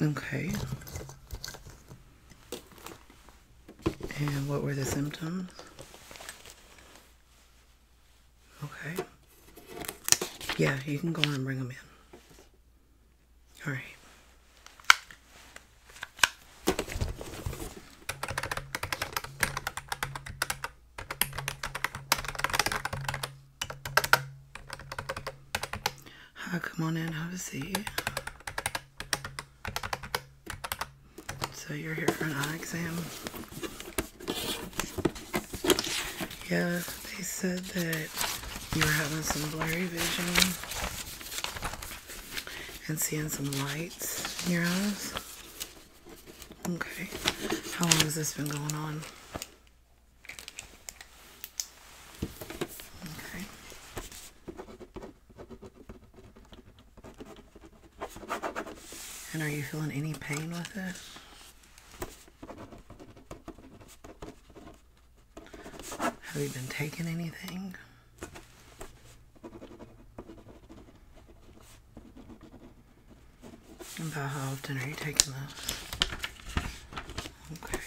Okay. And what were the symptoms? Okay. Yeah, you can go and bring them in. All right. Hi, come on in, have a seat. So you're here for an eye exam. Yeah, they said that you were having some blurry vision and seeing some lights in your eyes. Okay. How long has this been going on? And are you feeling any pain with this? Have you been taking anything? about how often are you taking this? Okay.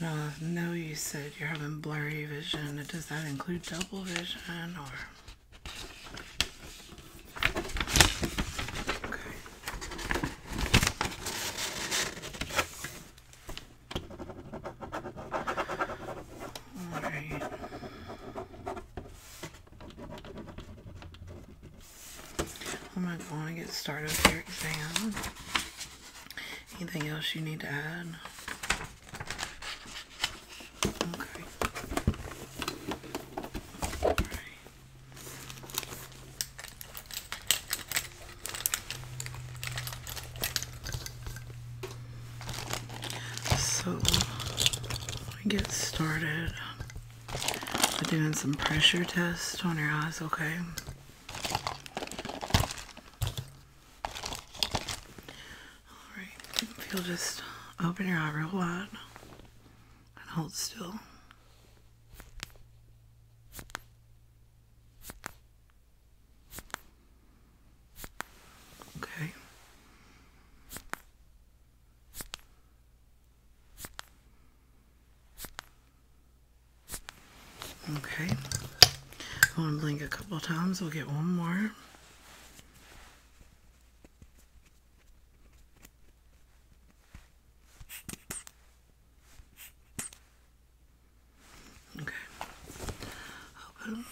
Uh, now, no. you said you're having blurry vision. Does that include double vision or? All right. I'm going to get started with your exam. Anything else you need to add? Okay. All right. So, we get started with doing some pressure tests on your eyes, okay? Alright, if you'll just open your eye real wide and hold still. Okay. Okay. I'm going to blink a couple times. We'll get one more. Okay. Open.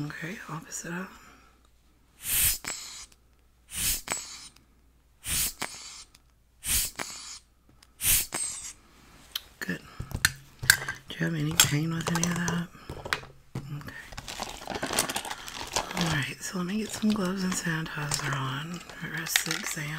Okay, opposite out. Good. Do you have any pain with any of that? Okay. Alright, so let me get some gloves and sanitizer on for the rest of exam.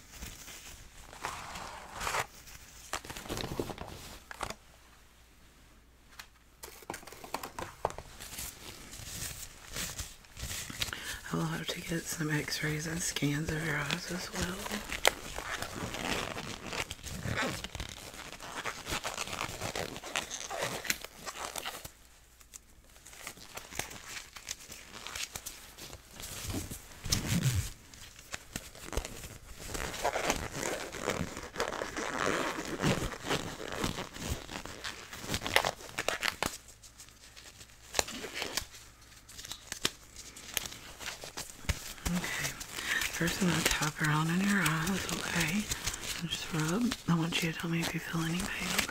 I'll have to get some x-rays and scans of your eyes as well. Okay, first I'm going to tap around in your eyes, okay? And just rub. I want you to tell me if you feel any pain, okay?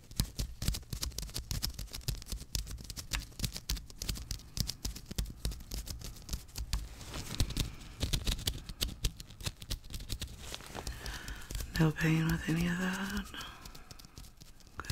No pain with any of that. Good.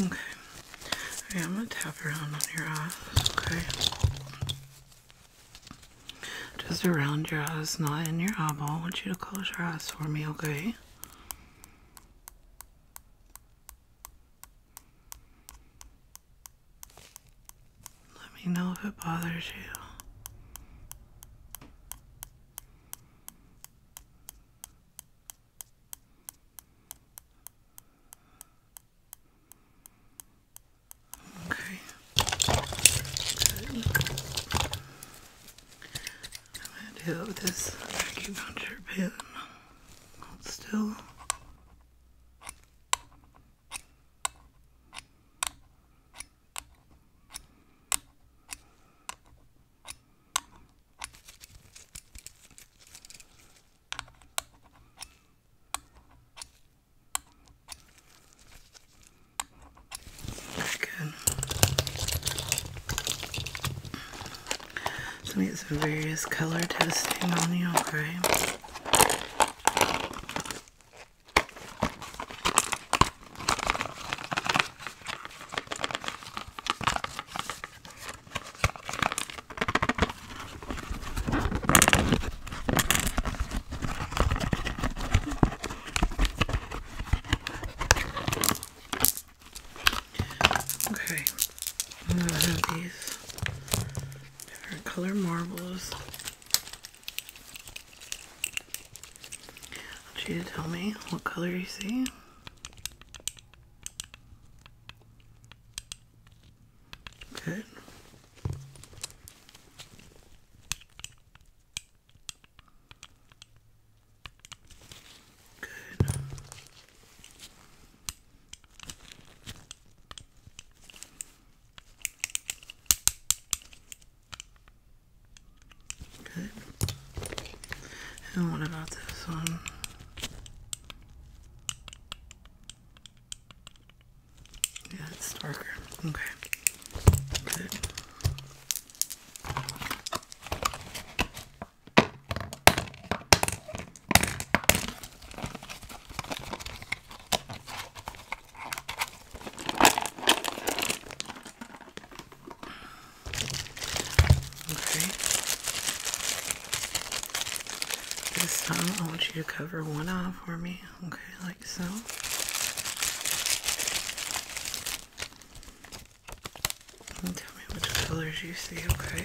Okay. I'm gonna tap around on your eyes, okay? Just around your eyes, not in your eyeball. I want you to close your eyes for me, okay? Let me know if it bothers you. Okay. I'm gonna do this acupuncture pin. still let So get some various color testing on the ombre. Okay, I'm gonna have these different color marbles. I want you to tell me what color you see. Good. Good. Good. And what about this one? Yeah, it's darker. Okay. Good. Okay. This time I want you to cover one eye for me. Okay, like so. And tell me which colors you see, okay?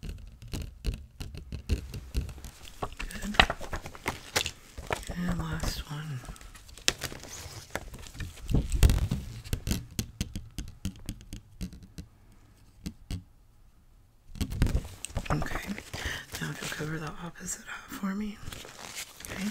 Good. And last one. Okay, now to cover the opposite up for me. Okay.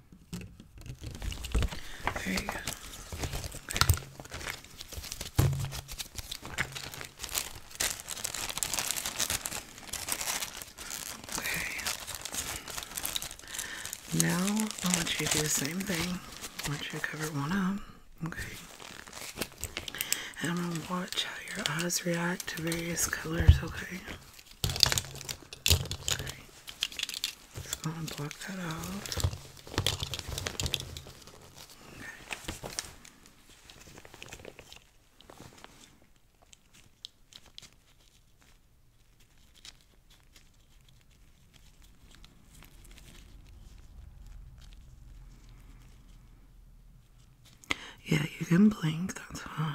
There Okay. Now I want you to do the same thing. I want you to cover one up. Okay. And I'm gonna watch how your eyes react to various colors, Okay. Let's go and block that out. Yeah, you can blink, that's fine.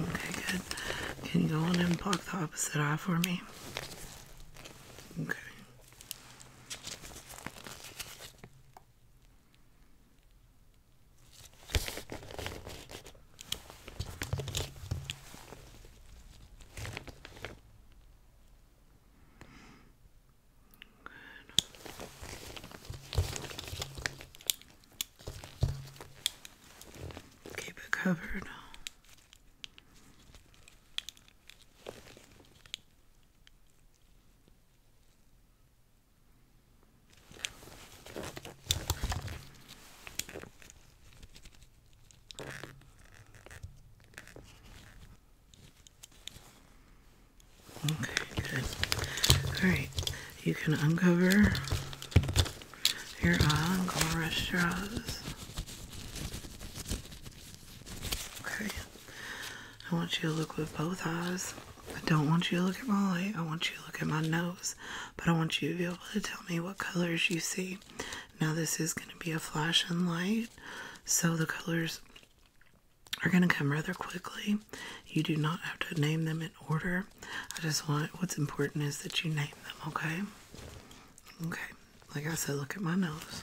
Okay, good. Can you go on and block the opposite eye for me? Okay. Keep it covered. Okay, good. Alright, you can uncover your ongoing restaurants. Okay. I want you to look with both eyes. I don't want you to look at my eye. I want you to look at my nose but I want you to be able to tell me what colors you see. Now, this is going to be a flash and light, so the colors are going to come rather quickly. You do not have to name them in order. I just want what's important is that you name them, okay? Okay, like I said, look at my nose.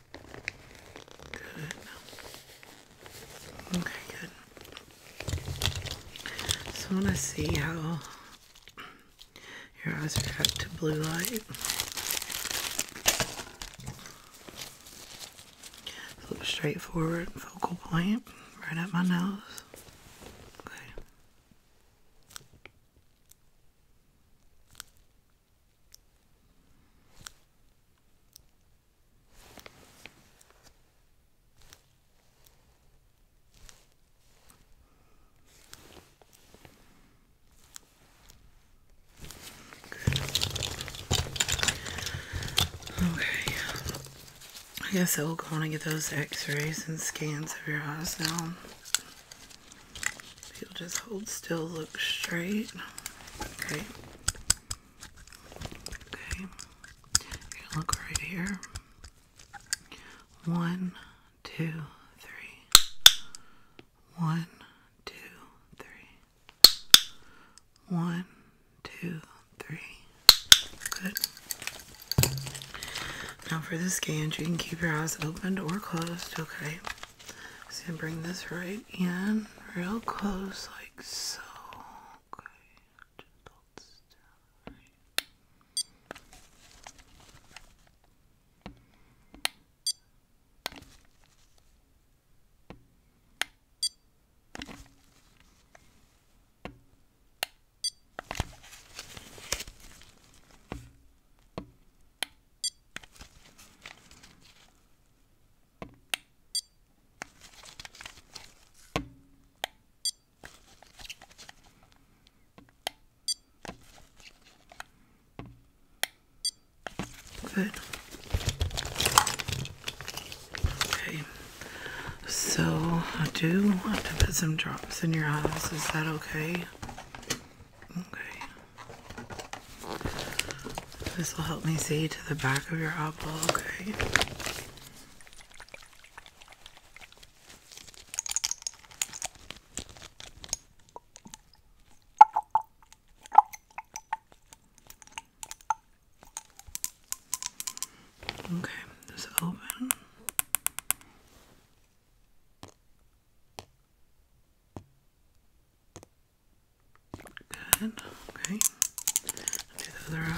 Good. Okay, good. So want to see how your eyes react to blue light. Look straight forward, focal point, right at my nose. Okay. Okay. I guess I will go and get those x rays and scans of your eyes now. You'll just hold still, look straight. Okay. Okay. look right here. One, two, three. One, two, three. One, two, three. Good. Now for the scan, you can keep your eyes opened or closed, okay? So I'm gonna bring this right in real close, like so. Good. Okay. So I do want to put some drops in your eyes. Is that okay? Okay. This will help me see to the back of your eyeball, okay? Okay, just open. Good, okay. I'll do the other row.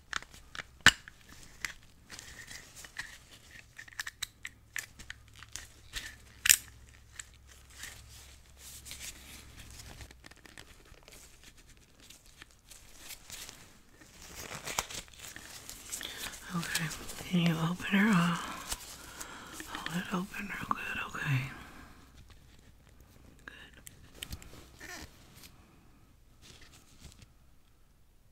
Okay, can you open her up? Hold it open real good, okay. Good.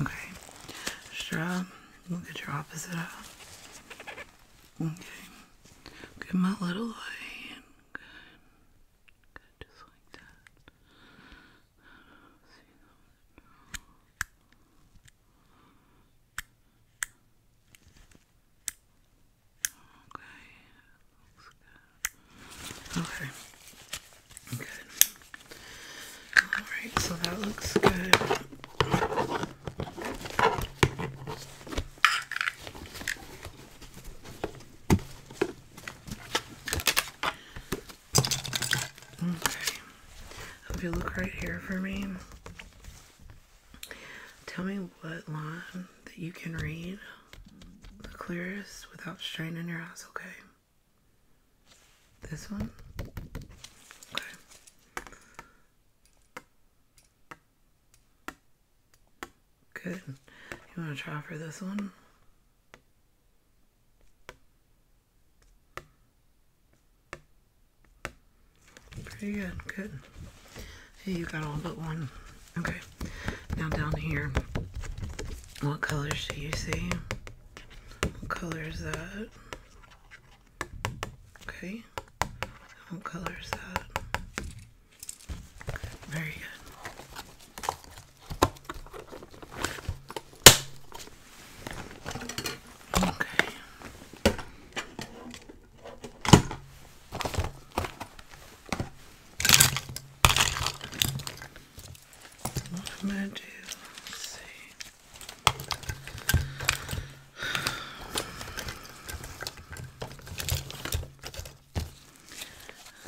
Okay. Strap. Look at your opposite eye. Okay. Get my little eye in. Good. Good. Just like that. Okay. Okay. Alright, so that looks good. Okay. If you look right here for me, tell me what line that you can read the clearest without straining your eyes, okay? This one? Okay. Good. You want to try for this one? Pretty good. Good. Hey, you got all but one. Okay. Now down here, what colors do you see? What color is that? Okay, what color is that? Very good. Okay. What am I do? Let's see.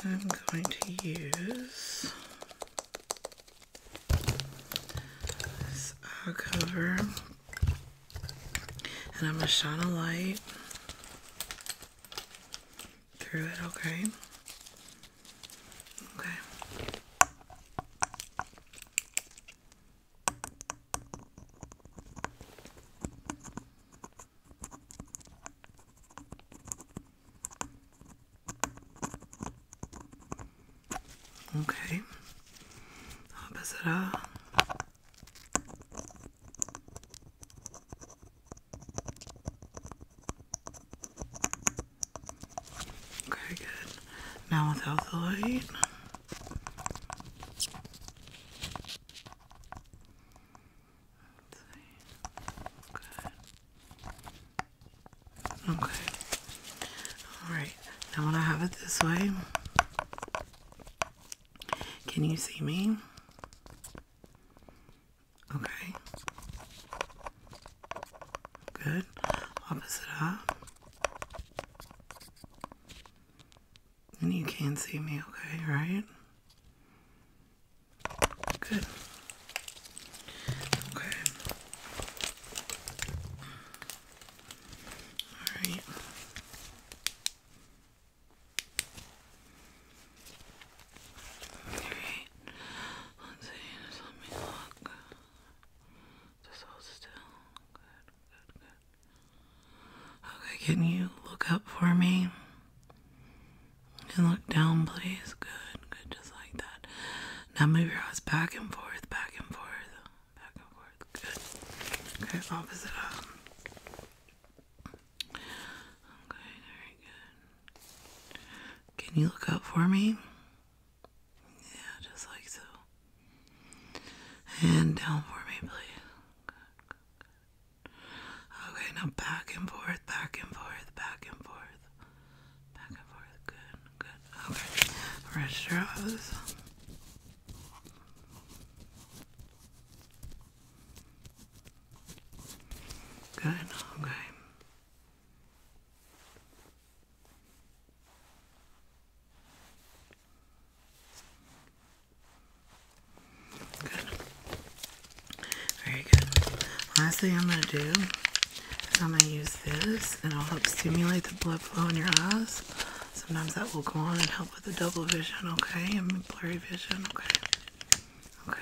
I'm going to use this eye uh, cover and I'm going to shine a light through it, okay? Okay. Okay. Opposite up. Okay, good. Now without the light. Okay. Alright. Now when I have it this way. Can you see me? Okay. Good. Opposite up. And you can see me okay, right? Good. Okay. Alright. Alright. Let's just let me look. Just hold still. Good, good, good. Okay, can you look up for me? And look down, please. Good, good, just like that. Now move your eyes back and forth, back and forth, back and forth. Good. Okay, opposite up. Okay, very good. Can you look up for me? Yeah, just like so. And down for me, please. Okay, now back and forth, back and forth, back and forth. Back and forth. Good, good. Okay. Register those. Good, okay. Very good. Last thing I'm going to do is I'm going to use this and it'll help stimulate the blood flow in your eyes. Sometimes that will go on and help with the double vision, okay? And blurry vision, okay? Okay.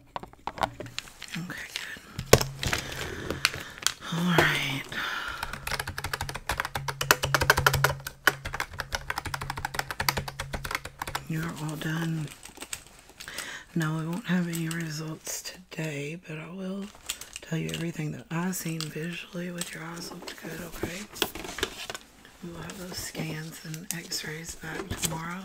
Okay, good. All right. You're all done. Now, we won't have any results today, but I will tell you everything that I've seen visually with your eyes looked good, okay? We will have those scans and x rays back tomorrow.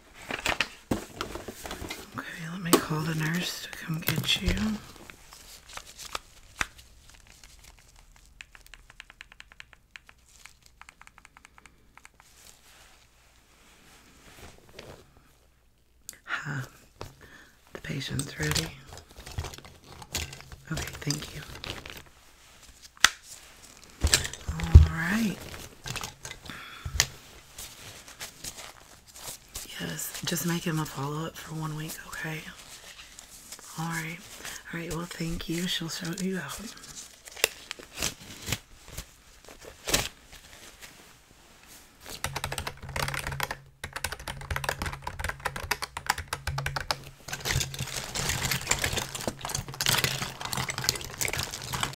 Okay, let me call the nurse to come get you. Huh. The patient's ready. Okay, thank you. All right. Yes, just make him a follow up for one week, okay? Alright. Alright, well, thank you. She'll show you out.